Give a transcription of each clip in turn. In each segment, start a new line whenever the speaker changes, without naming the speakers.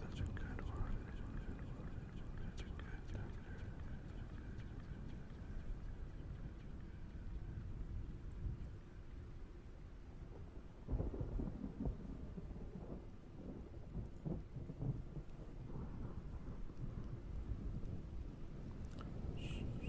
that's a good one. That's a good one. That's a good one. Shh, shh, shh, shh.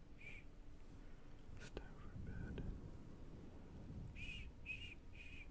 It's time for bed. Shh, shh, shh, shh.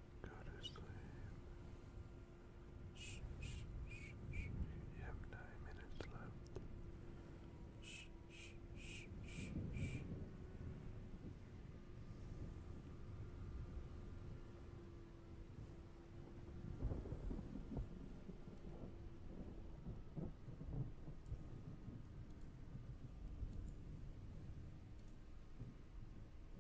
Go to sleep. Shh, shh, shh, shh. You have nine minutes left. Shh, shh, shh, shh, shh.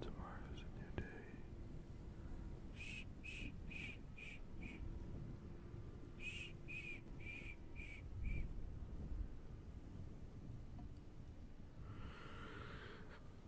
Tomorrow is a new day.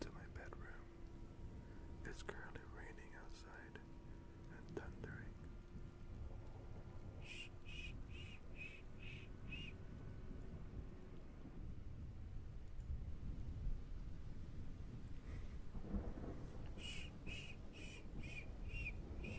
to my bedroom. It's currently raining outside and thundering. Shh, shh, shh, shh, shh. Shh, shh, shh, shh, shh, shh.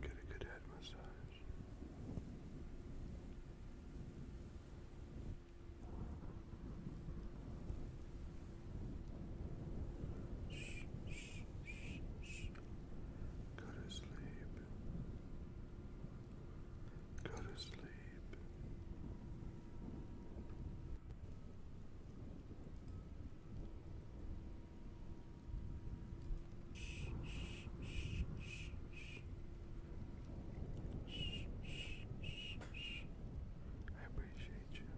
Get a good head massage. Go to sleep. Go to sleep. I appreciate you.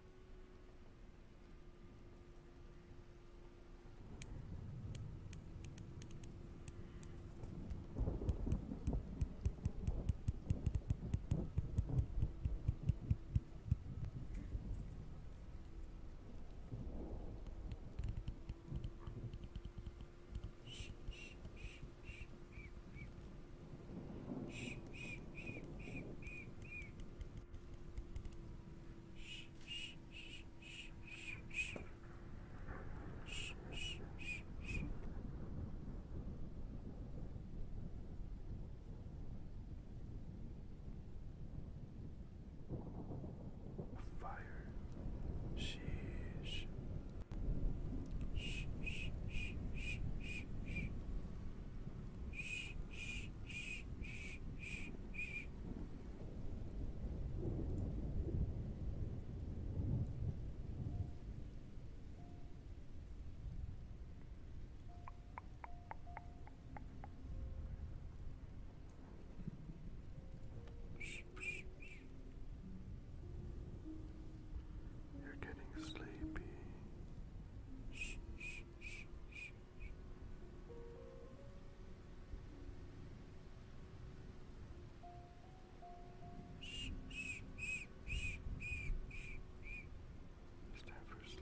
Shh, shh, shh, shh. Fire. Sheesh. Sheesh. Sheesh. Sheesh. Sheesh. You're getting sleepy. It's time for sleep.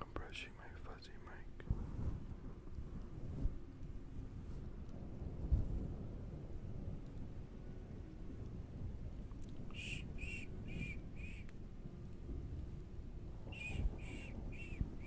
I'm brushing my fuzzy mic. Shh, shh, shh, shh. Shh, shh, shh, shh.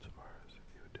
Tomorrow's a new day.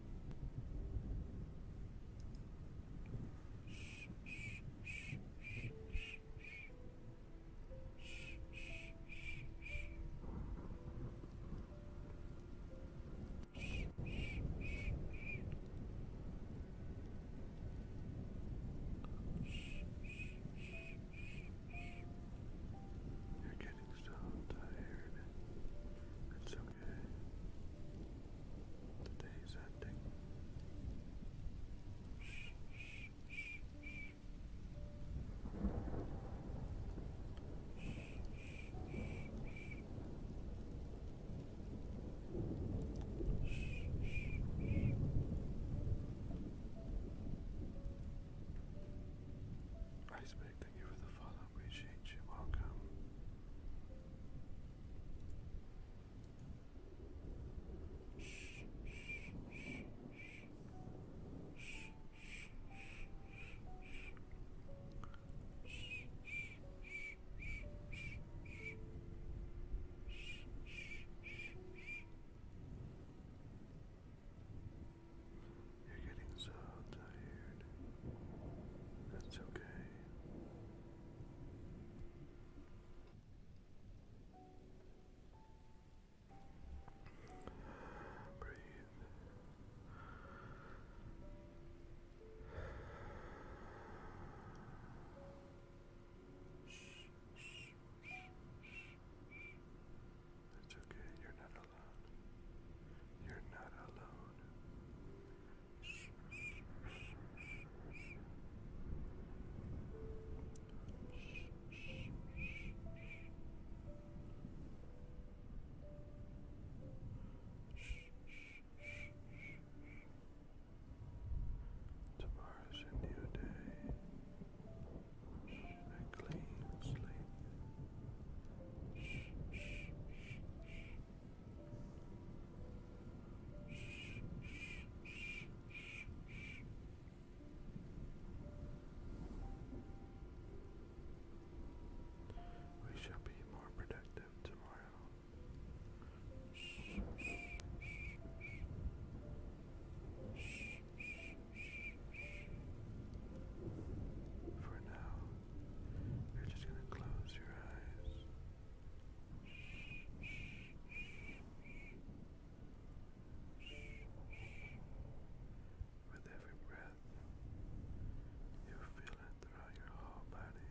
You're getting so tired and so Today's ending. Shh, shh, shh, shh. Shh, you for follow appreciate you. Welcome. You're getting so tired. That's okay. Breathe. It's okay, you're not you're not alone. Tomorrow's a new day. A clean sleep. We shall be more productive tomorrow. For now, you're just going to close your eyes. With every breath, you feel it throughout your whole body.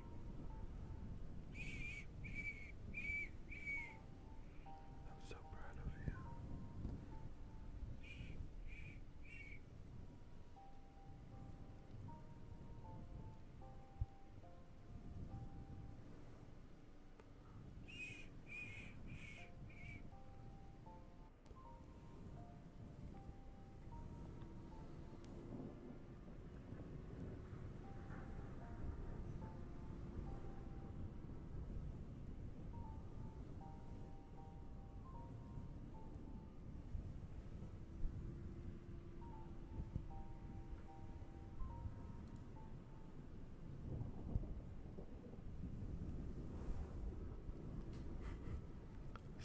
I'm so proud of you.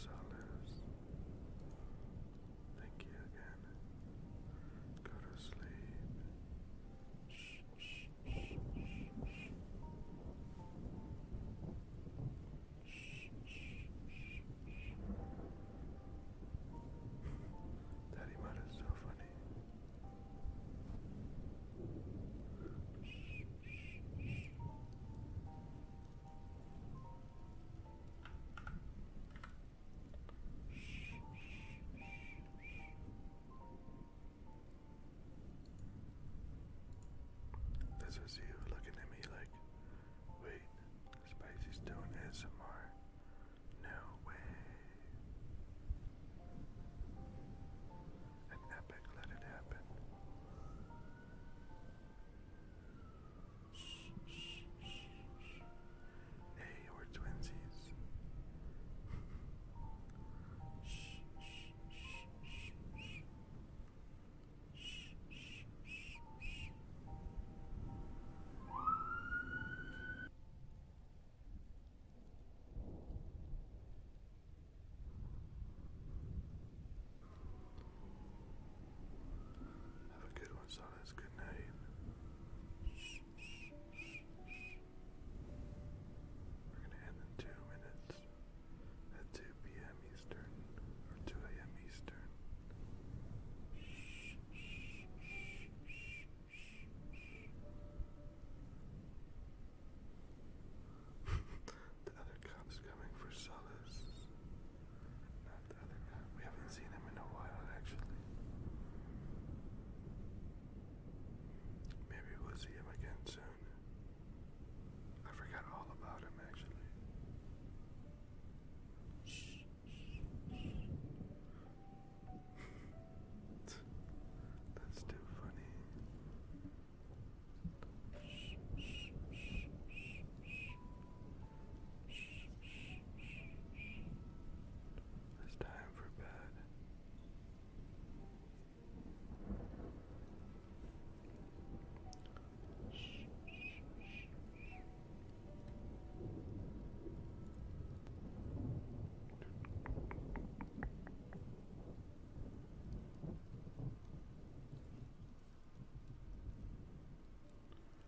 Salas Thank you again. Go to sleep. Shh, shh, shh, shh, Daddy Mud so funny. shh. Shh, shh, shh. This is you looking at me like, wait, Spicy's doing ASMR. No way. An epic let it happen. Hey, we're twinsies. Have a good one, Solace. Good night. We're gonna end in two minutes at 2 p.m. Eastern or 2 a.m. Eastern. the other cop's coming for solace. We haven't seen him in a while, actually. Maybe we'll see him again soon. I forgot all about him, actually. Shh, That's too funny. shh, shh, shh. It's time for bed.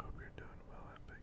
Hope you're doing well, Epic.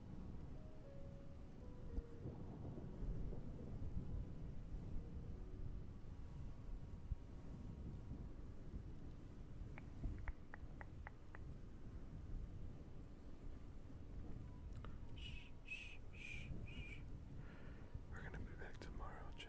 We're gonna be back tomorrow, Jen.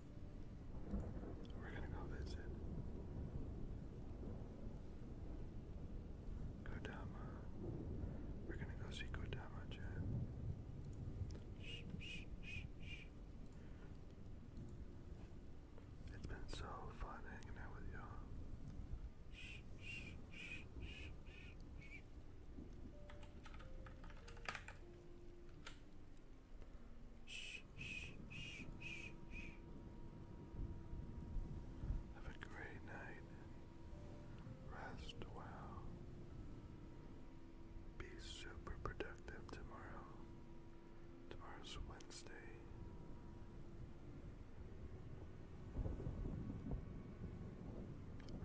We're gonna go visit Kodama. We're gonna go see Kodama, Shh, shh, shh, It's been so fun hanging out with y'all. shh, shh, shh. Shh, Have a great night rest well. Be super productive tomorrow. Tomorrow's Wednesday.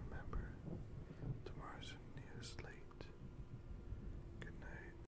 Remember, tomorrow's a new slate. Good night.